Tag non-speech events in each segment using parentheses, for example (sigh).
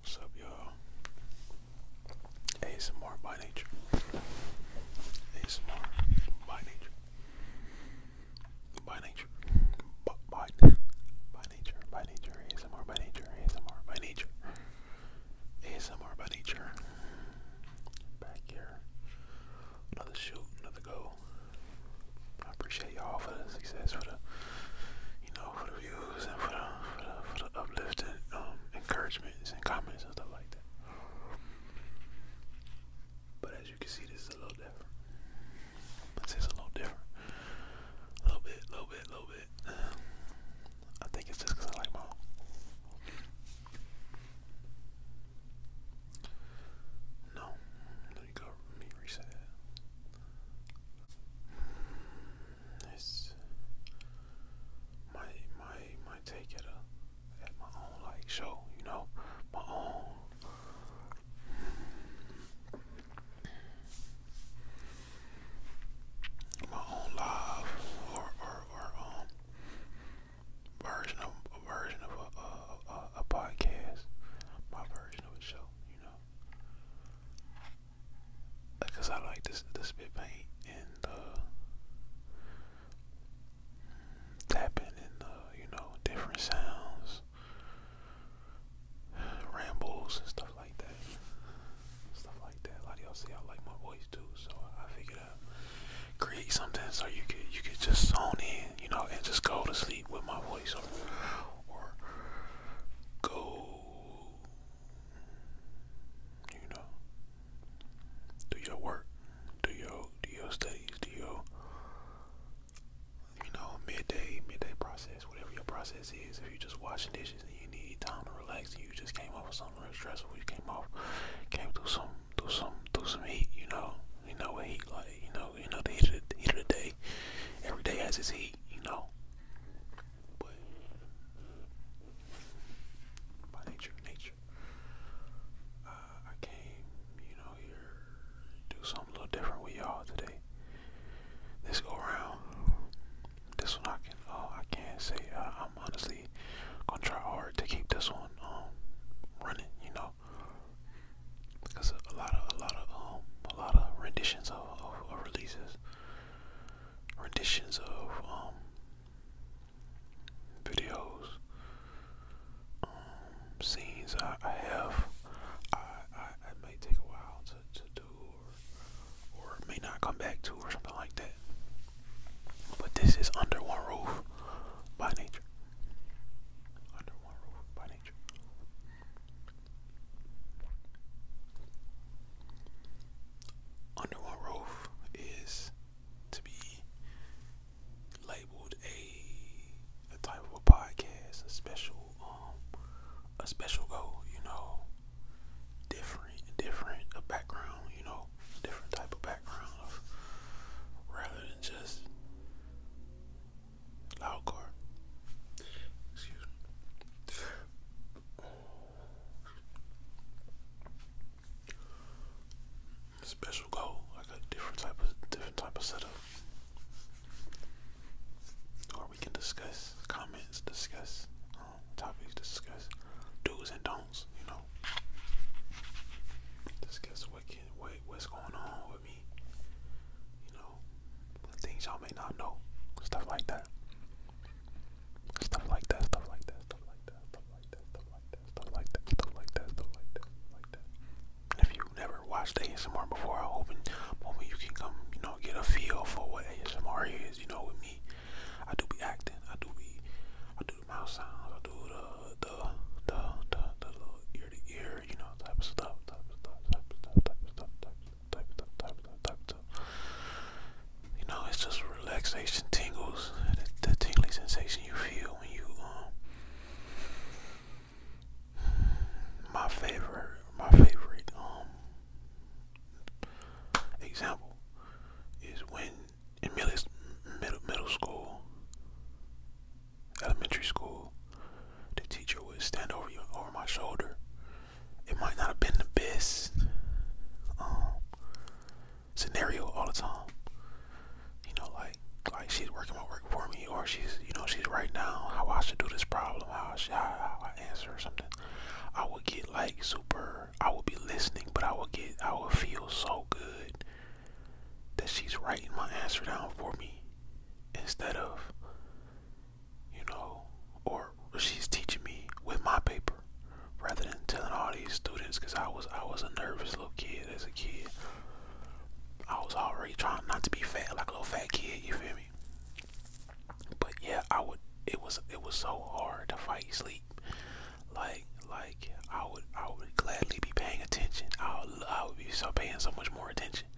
What's up, y'all? ASMR by nature. ASMR by nature. By nature. By, by, nature. By nature. ASMR by nature. ASMR by nature. ASMR by nature. Another shoot. Another go. I appreciate y'all for the success, for the you know, for the views and for the for the, for uplifting um, encouragements and comments and stuff like that. But as you can see, this is a little different. This is a little different. A little bit, a little bit, a little bit. I think it's just I like my No, let me go. reset it's my my my take at a at my own like show, you know, my own. My own live or or or um version of a version of a a podcast, my version of a show, you know. Because I like this the spit paint and uh, tapping and uh, you know, different sounds, rambles and stuff like that. Stuff like that. A lot of y'all see I like my voice too, so I figured out create something so you could you could just zone in, you know, and just go to sleep with my voice or go, you know, do your work, do your do your studies, do your you know midday midday process, whatever your process is. If you're just washing dishes and you need time to relax, and you just came off of something real stressful, you came off, came through some through some through some heat, you know. You know what You know, you know the heat of the, day. Every day has its heat. You know. But by nature, nature. Uh, I came, you know, here do something a little different with y'all today. This go around. This one I can, uh, I can't say. Uh, I'm honestly gonna try hard to keep this one um, running. You know, because a lot of a lot of um, a lot of renditions of, releases, renditions of um, videos, um, scenes. I, have I, may take a while to do or or may not come back to or something like that. But this is under one roof by nature. Under one roof by nature. Under one roof is to be labeled a a type of a podcast, a special um a special goal, you know, different different a background, you know, different type of background rather than just Loudcore. Excuse me. Special goal, like a different type of different type of setup. Or we can discuss comments, discuss um, topics, discuss do's and don'ts. You know, discuss what can what's going on with me. You know, things y'all may not know, stuff like that. Stuff like that, stuff like that, stuff like that, stuff like that, stuff like that, stuff like that, stuff like that, If you never watched ASMR before, I hope in moment you can come, you know, get a feel for what ASMR is, you know, with me. I do be acting, I do be I do the mouth sounds, I do the the the, the little ear to ear you know, type of stuff, type stuff, type stuff, type stuff, type stuff, type stuff, type stuff. You know, it's just relaxation tingles, the, the tingly sensation you feel when you, um, my favorite, my favorite, um, example is when in middle, middle, middle school, elementary school, the teacher would stand over you, over my shoulder. It might not have been the best um, scenario all the time. You know, like like she's working my work for me, or she's you know she's right now how I should do this problem, how I should, answer something. I would get like super. I would be listening, but I would get. I would feel so good that she's writing my answer down for me instead of, you know, or she's teaching me with my paper rather than telling all these students because I was I was a nervous little kid as a kid. I was already trying not to be fat like a little fat kid, you feel me? But yeah, I would it was it was so hard to fight sleep. Like like I would I would gladly be paying attention. I I would be so paying so much more attention much.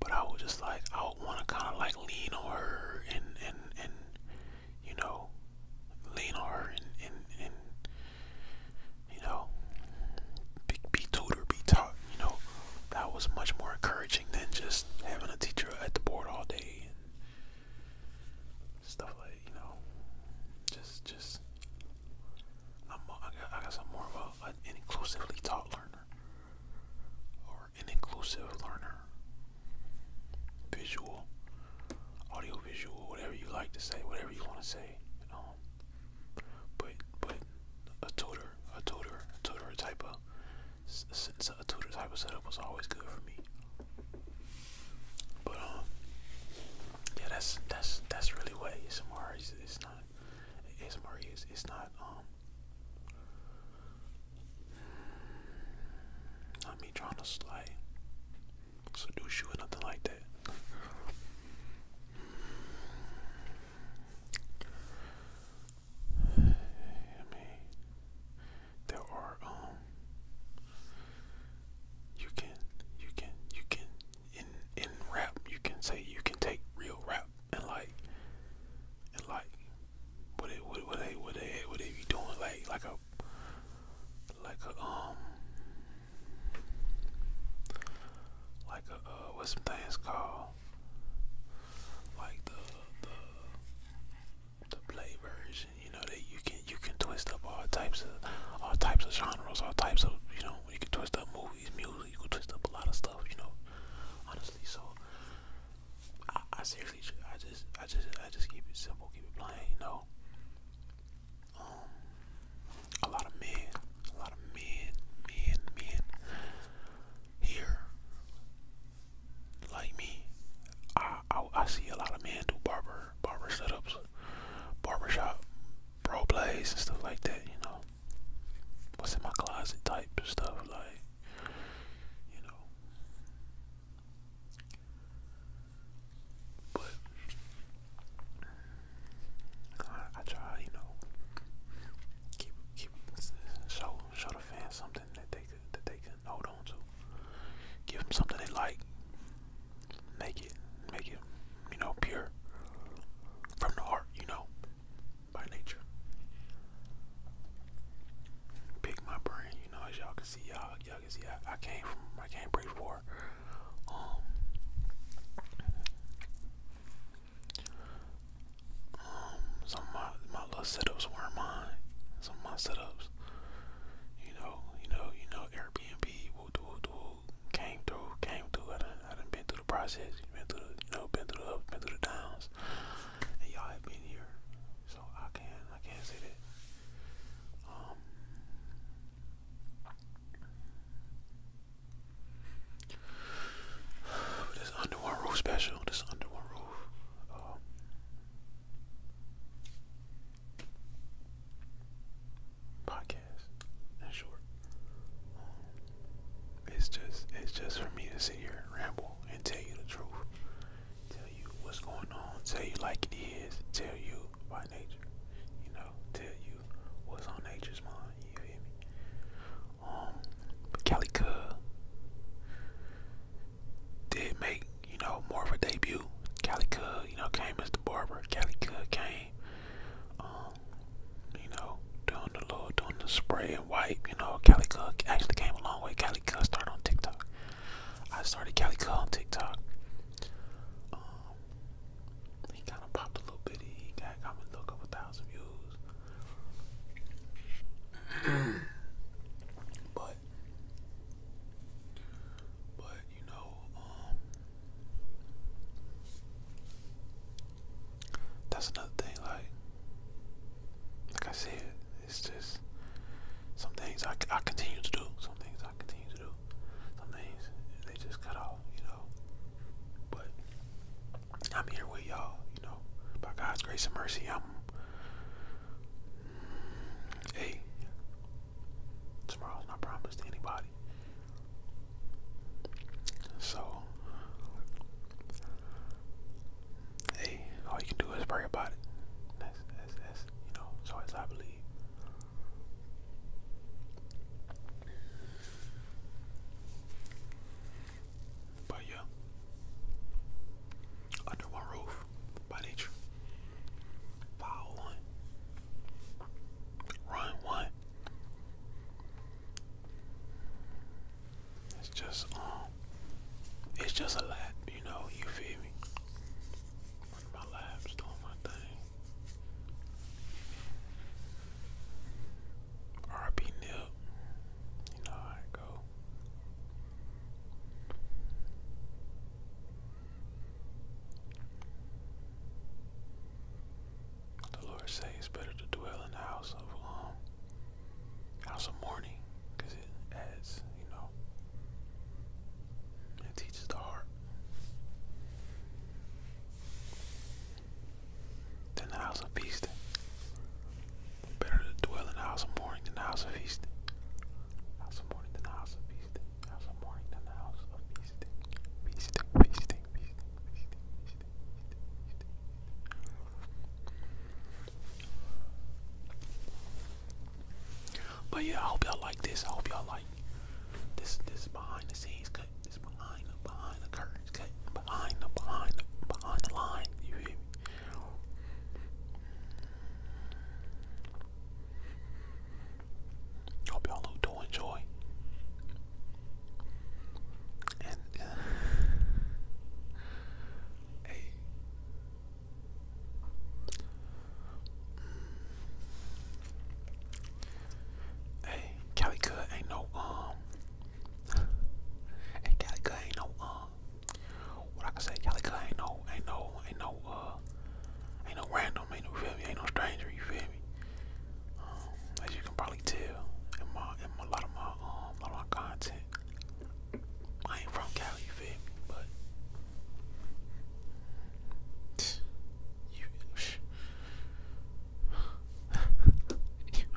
But I would just like I would want to kind of like lean on her and and and you know lean on her and and, and you know be, be tutored, be taught. You know that was much more encouraging than just having a teacher at the board all day and stuff like you know just just I'm I guess, I more of an inclusively taught learner or an inclusive learner. Visual, audio whatever you like to say, whatever you want to say. Um, but but a tutor, a tutor, tutor type of since a tutor type of setup was always good for me. But um, yeah, that's that's that's really what ASMR is. It's not ASMR is it's not um not trying to seduce you or nothing like that. I mean, there are um, you can you can you can in in rap you can say you can take real rap and like and like what it what, they what they what they be doing like like a like a um like a uh, what's some things called like the the the play version you know that you can you can twist up all types of all types of genres all types of you know you can twist up movies it's music. You twist up a lot of stuff, you know. Honestly, so I, I seriously, I just, I just, I just keep it simple, keep it plain, you know. Um, a lot of men, a lot of men, men, men here, like me. I, I, I see a lot of men do barber, barber setups, barbershop, Bro plays and stuff like that, you know. What's in my closet type stuff like you know. But I, try, you know, keep keep show show the fans something that they could that they can hold on to. Give them something they like make it, make it, you know, pure from the heart, you know, by nature. Pick my brain, you know, as y'all can see, y'all, can see, I, I came from, I came pretty far. Um, um, some of my, my setups weren't mine. Some of my setups, you know, you know, you know, Airbnb, came through, came through. I done, I done been through the process. Been through, you know, been through the ups, been through the downs, and y'all have been here, so I can, I can say that. Um, (sighs) this under one roof special. This under one roof. Um, podcast in short. Um, it's just it's just for me to sit here and ramble and tell you the truth. Tell you what's going on, tell you like it is, tell you by nature, you know, tell you what's on nature's mind, you hear me? Um but Calico did make, you know, more of a debut. Calico, you know, came as the barber. Calico came um, you know, doing the little, doing the spray and wipe. You know, Cali Cook actually came a long way. Cali Cook started on TikTok. I started Cali Cook on TikTok. Um, he kind of popped a little bit. He got, got me a little couple thousand views. (clears throat) but, but you know, um, that's another thing. Like, like I said, it's just some things I, I continue to do. Some things I continue to do. Some things they just cut off, you know. But I'm here with y'all, you know. By God's grace and mercy, I'm. Hey, Tomorrow's not promised to anybody. So, hey, all you can do is pray about it. That's, that's, that's you know, so as I believe. But yeah, under one roof by nature. Foul one. Run one. It's just um it's just a lap, you know, you feel me? Running my laps, doing my thing. RP nip. You know I go. The Lord says better to dwell in the house of um house of mourning, it adds, you know, it teaches the heart. Than the house of feasting. Better to dwell in the house of mourning than the house of feasting. House of mourning than the house of feasting. But yeah, I hope y'all like this. I hope y'all like this. This behind the scenes cut. This behind the behind the curtains cut. Behind the behind the behind the line. You hear me? Hope y'all do enjoy. And hey, hey, Cali Good ain't no um, hey Cali Good ain't no um, what I can say, Cali Good ain't no, ain't no, ain't no uh uh, ain't no random, ain't no ain't no stranger, you feel me? Um, as you can probably tell in a lot of my um my content. I ain't from Cali, you feel me, but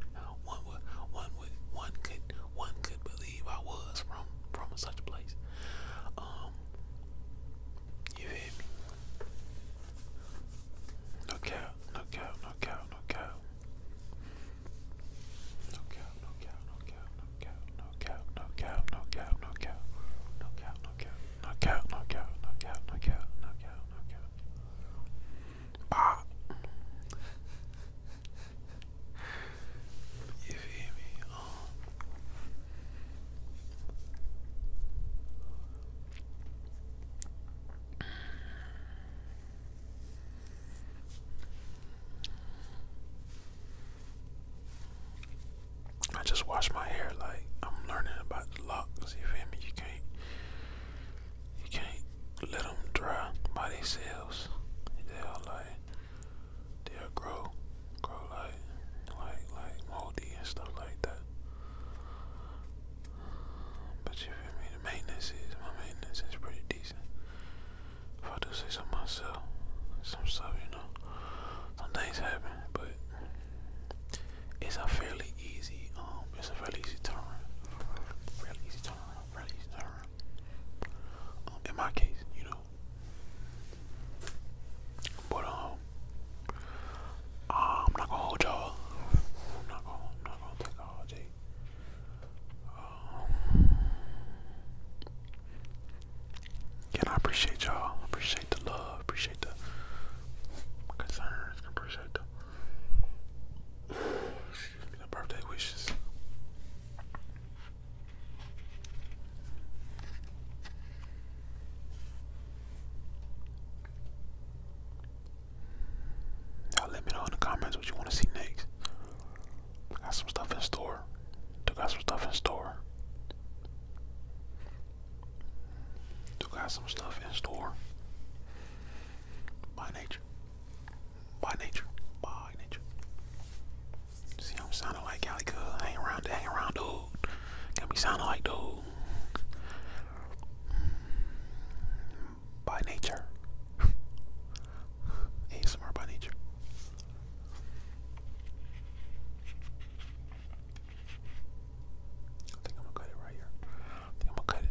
(laughs) one would, one would, one could, one could believe I was from from such a place. Um, you hear me? Knock out, knock out, knock out, knock out. Knock out, knock out, knock out, knock out, knock out, knock out, knock out, knock out, knock out, knock out, knock out, knock out, knock You hear me? I just wash my hair like I'm learning about the locks. You feel me? You can't, you can't let them dry by themselves. They'll like, they'll grow grow like like like moldy and stuff like that. But you feel me? The maintenance is my maintenance is pretty decent. If I do say so myself, some stuff you know, some things happen, but it's a fairly easy um, it's a fairly easy turn, fairly easy turn, fairly easy turn. Um, in my case, you know, but um, uh, I'm not gonna hold y'all. I'm not gonna, I'm not gonna take all day. Um, and I appreciate y'all. Appreciate the love. Appreciate the concerns. Appreciate the. Excuse me, the birthday wishes. Y'all let me know in the comments what you want to see next. I got some stuff in store. Took out some stuff in store. Took out some stuff in store. By nature. By nature. By nature. See, I'm sounding like Cali Cuz. Hang around, hang around, dude. Got me sounding like dude. By nature. he's (laughs) ASMR by nature. I think I'm gonna cut it right here. I think I'm gonna cut it.